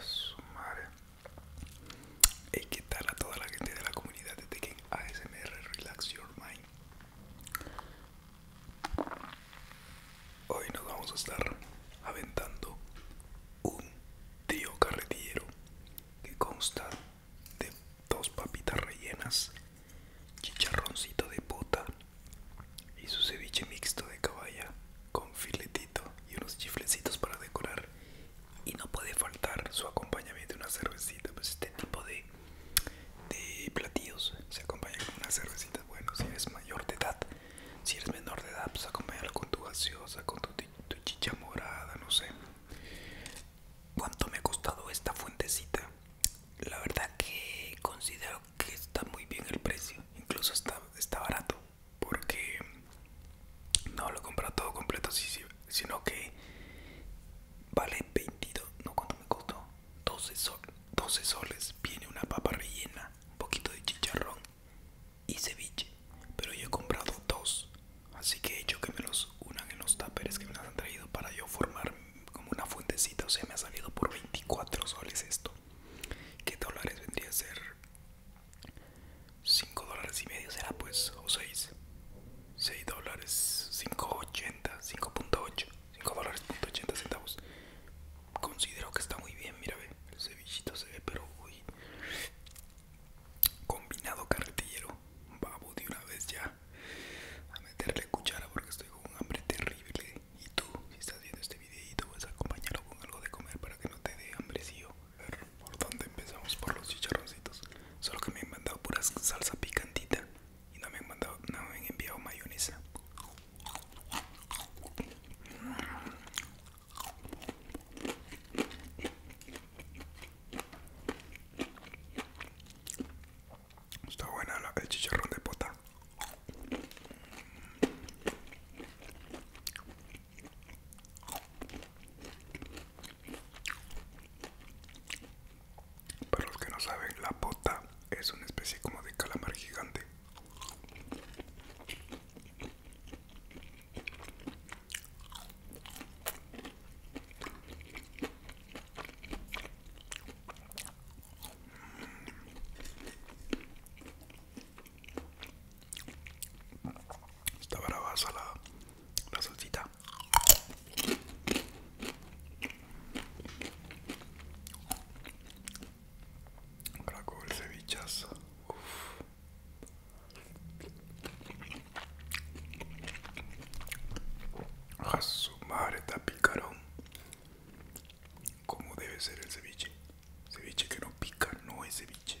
Su madre. Y qué tal a toda la gente de la comunidad de Tekken ASMR Relax Your Mind. Hoy nos vamos a estar aventando un trío carretero que consta de dos papitas rellenas, chicharroncito de puta y su ceviche mixto de caballa con filetito y unos chiflecitos para decorar. Y no puede faltar su acompañamiento de una cervecita. Pues este tipo de, de platillos se acompaña con una cervecita. Bueno, si eres mayor de edad, si eres menor de edad, pues acompáñalo con tu gaseosa, con tu chicha morada, no sé cuánto me ha costado esta fuentecita la verdad que considero que está muy bien el precio incluso está, barato porque no lo comprado todo completo sino que vale 22 no cuánto me costó 12 12 soles viene una papa rellena un poquito de chicharrón y ceviche pero yo he comprado dos Así que he hecho que me los unan en los taperes que me los han traído para yo formar como una fuentecita. O sea, me ha salido por 24 soles esto. ¿Qué dólares vendría a ser? 5 dólares y medio será pues, o 6. 6 dólares, 5.80, 5.8, 5 dólares, 80 centavos. Considero que está muy bien, mira, ve, el cevichito se ve, pero uy, Combinado carretillero. Babo de una vez ya. A meterle cuchara porque estoy con un hambre terrible. Y tú, si estás viendo este tú vas a acompañarlo con algo de comer para que no te dé hambre, ¿por donde empezamos? Por los chicharroncitos. Solo que me han mandado puras salsa picantita. Y no me han mandado, no me han enviado mayonesa. Está buena el chicharrón de pota. Para los que no saben, la pota es una especie como de calamar gigante. Está bravaza la, la salsita. Ahora con el a su está picarón. Como debe ser el ceviche. Ceviche que no pica no es ceviche.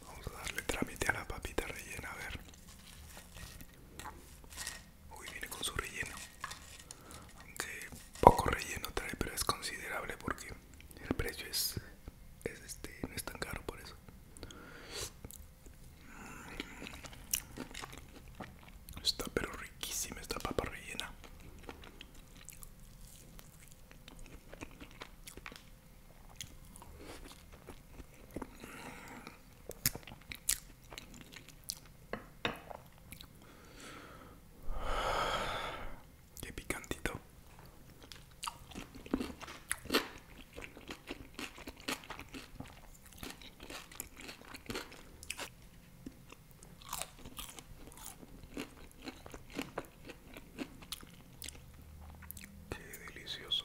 Vamos a darle trámite a la papita rellena, a ver. Uy, viene con su relleno. Aunque poco relleno trae, pero es considerable porque el precio es, es este, no es tan caro por eso. Está pero riquísima esta papa rellena. Qué picantito. Qué delicioso.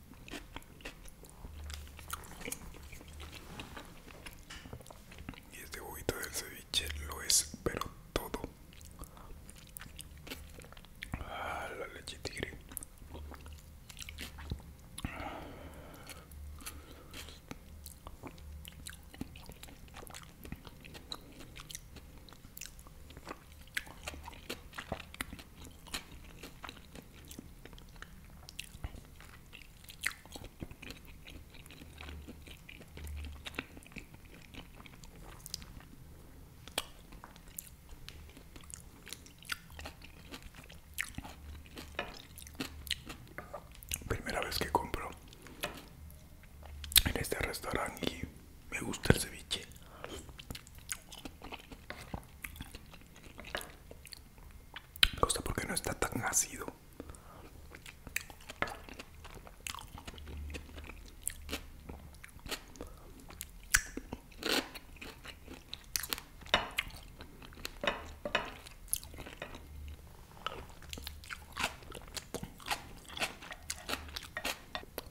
Y este huevito del ceviche lo es, pero todo. Ah, la leche tigre. Primera vez que compro en este restaurante y me gusta el ceviche. Me gusta porque no está tan ácido.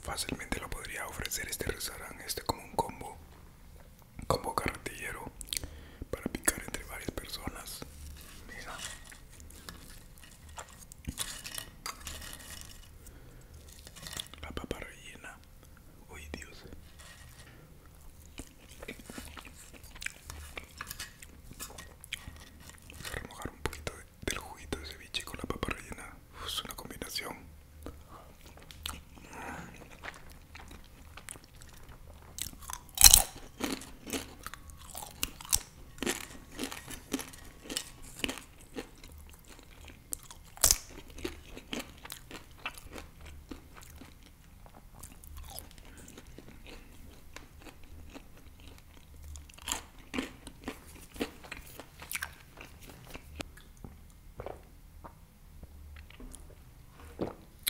Fácilmente lo podría ofrecer este restaurante, este como un combo, combo carretillero para picar entre varias personas. Mira. La papa rellena. hoy Dios. Vamos a un poquito del juguito de ceviche con la papa rellena es una combinación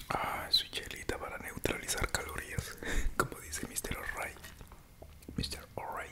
Ah, su chelita para neutralizar calorías, como dice Mr. O'Reilly. Mr. O'Reilly.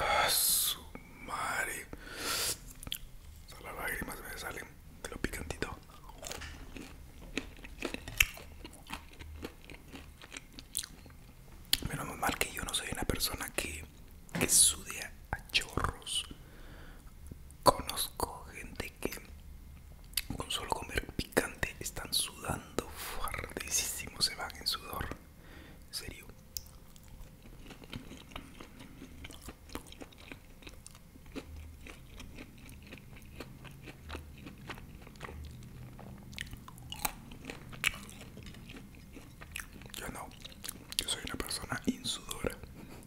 Ah, su madre. las lágrimas me salen de lo picantito. Menos mal que yo no soy una persona que que sude a chorros. Conozco gente que con solo comer picante están sudando fuertísimo, se van en sudor. En serio. Yo no, yo soy una persona insudora.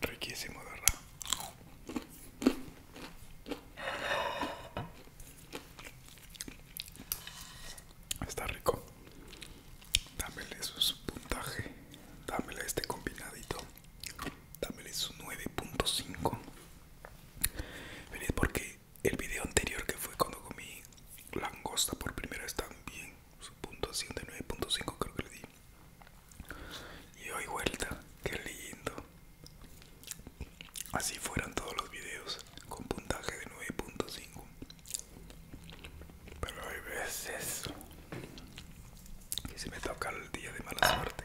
Riquísimo, verdad. Está rico. Dámele su, puntaje. Dámele este combinadito. Dámele su 9.5. porque el video anterior que fue cuando comí langosta por primera vez también. Su punto 9.5 creo que le di. Y hoy vuelta, que lindo. Así fueran todos los videos con puntaje de 9.5. Pero hay veces que se me toca el día de mala suerte.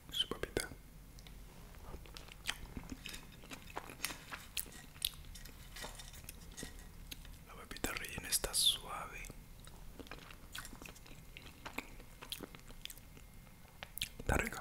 su papita. La papita rellena está suave. Está rica.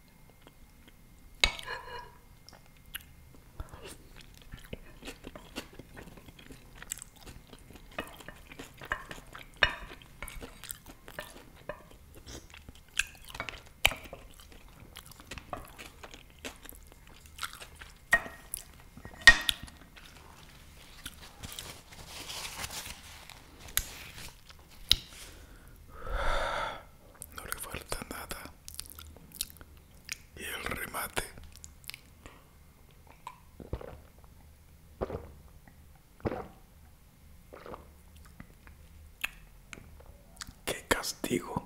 No le falta nada y el remate qué castigo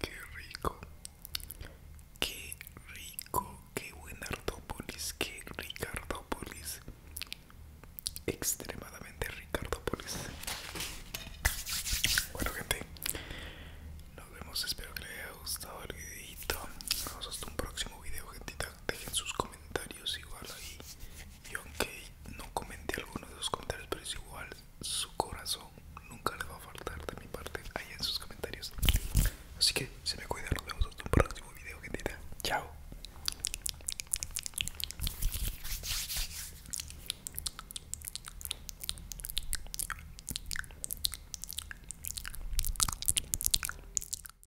Qué rico, qué rico, qué buen Ardópolis, qué Ricardópolis, extremadamente Ricardópolis. Bueno, gente, nos vemos. Espero que les haya gustado el videito. Nos vemos hasta un próximo video, gente dejen sus comentarios igual ahí. Yo aunque no comenté alguno de sus comentarios, pero es igual, su corazón nunca le va a faltar de mi parte ahí en sus comentarios. Así que se me cuidan, nos vemos en un próximo video, gentita. Chao.